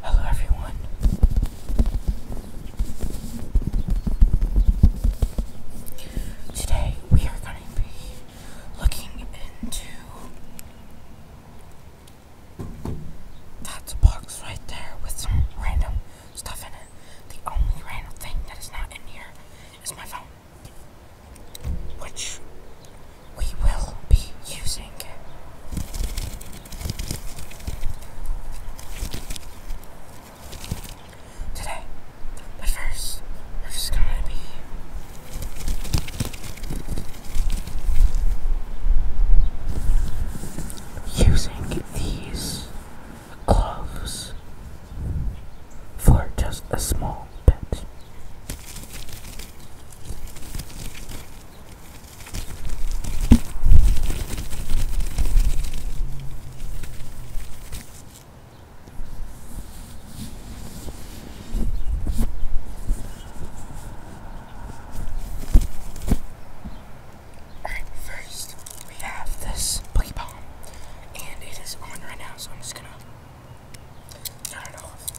Hello everyone. Today we are going to be looking into that's box right there with some random stuff in it. The only random thing that is not in here is my phone which we will be using. Today, but first, we're just gonna be using these gloves for just a small bit. Alright, first we have this boogie bomb, and it is on right now, so I'm just gonna. I don't know if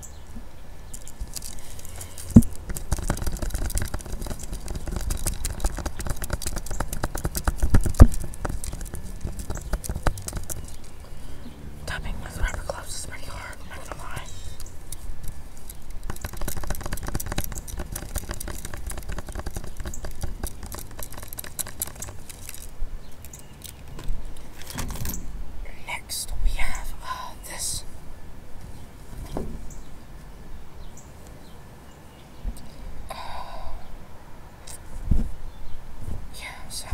Tapping with rubber gloves is pretty hard, I'm not gonna lie. Next, we have uh, this. Uh, yeah, so.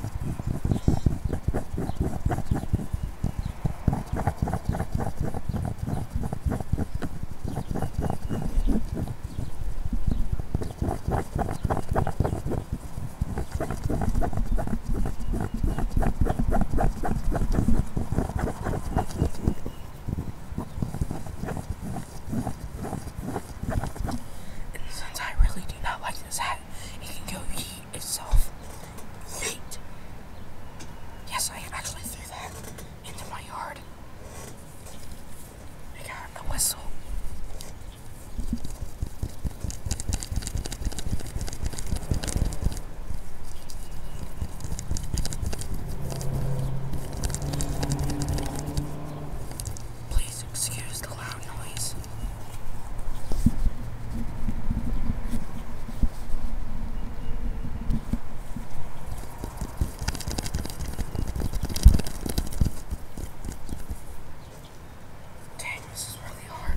And since I really do not like this hat, it can go eat itself. Yeet! Yes, I actually threw that into my yard. I got a whistle. Please excuse the loud noise. Dang, this is really hard.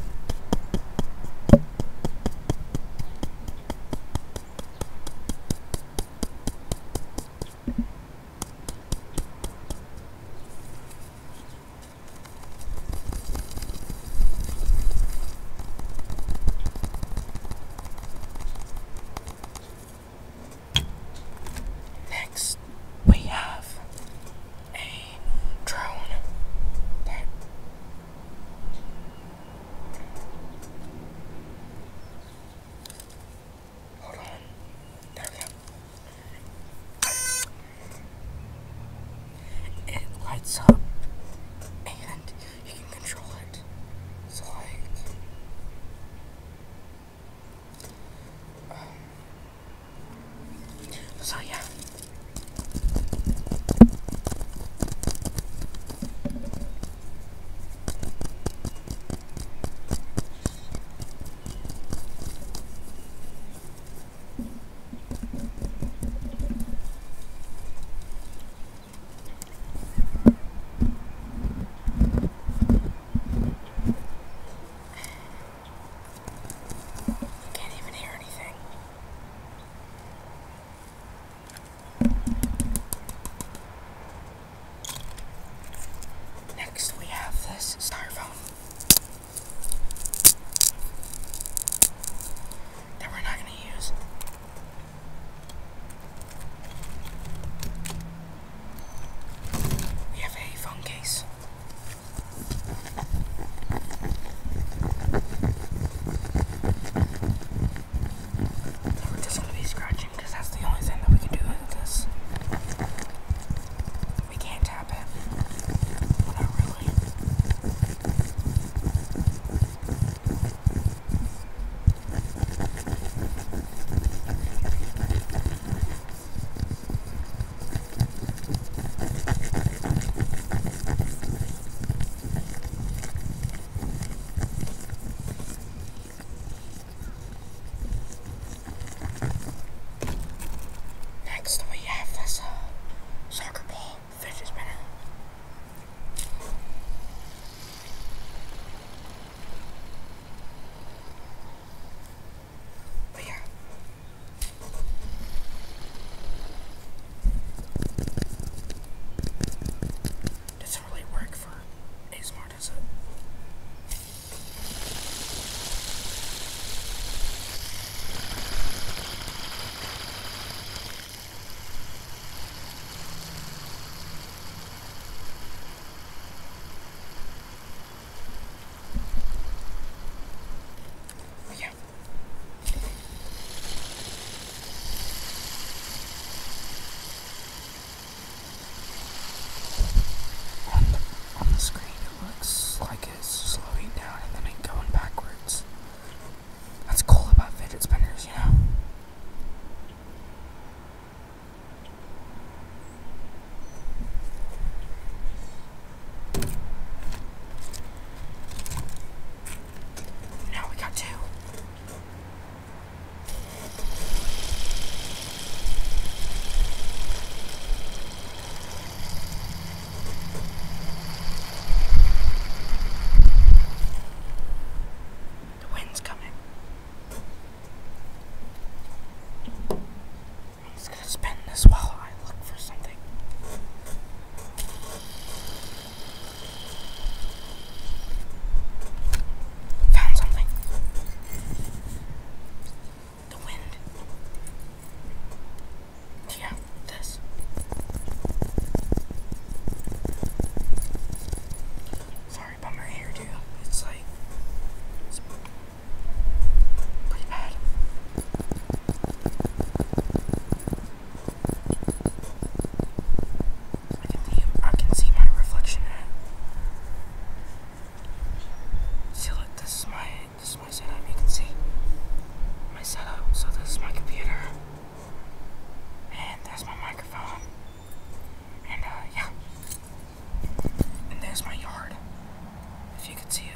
Next, we have a drone Hold on. There we go it lights up and you can control it. So um, yeah. Can't even hear anything. Next, we have this styrofoam that we're not going to use. We have a phone case. We're just going to be scratching because that's the only thing that we can do with this. We can't tap it. Not really. Next we have this uh, soccer ball fidget spinner. But yeah. Doesn't really work for ASMR. What is it? Oh, yeah. On the, screen, it looks like it's slowing down and then going backwards. That's cool about fidget spinners, you know? Now we got two. The wind's coming. I'm just gonna spin this while I look for something. Found something. Yeah, this. Sorry about my hair, It's like it's pretty bad. I can see I can see my reflection See look, this is my this is my setup, you can see my setup. So this is my computer. And there's my microphone. And uh yeah. And there's my yard. If you could see it.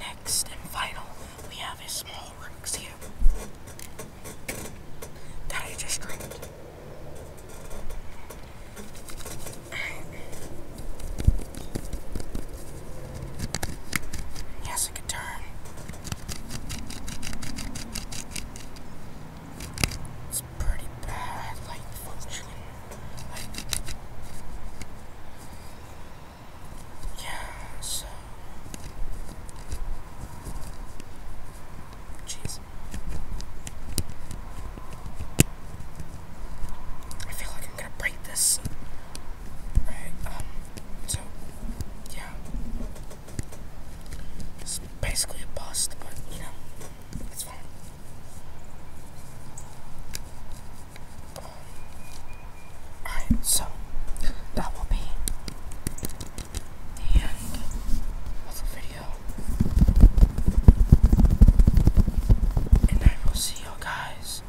Next and final, we have a small Rubik's Cube that I just dreamed. Yes, it could turn pretty bad, like functioning. Like, yeah, so. Jeez. I feel like I'm gonna break this. Right, um, so, yeah. It's basically a bust, but, you know. That's fine. Alright, so that will be the end of the video. And I will see you guys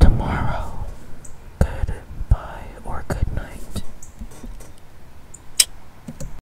tomorrow. Goodbye or good night.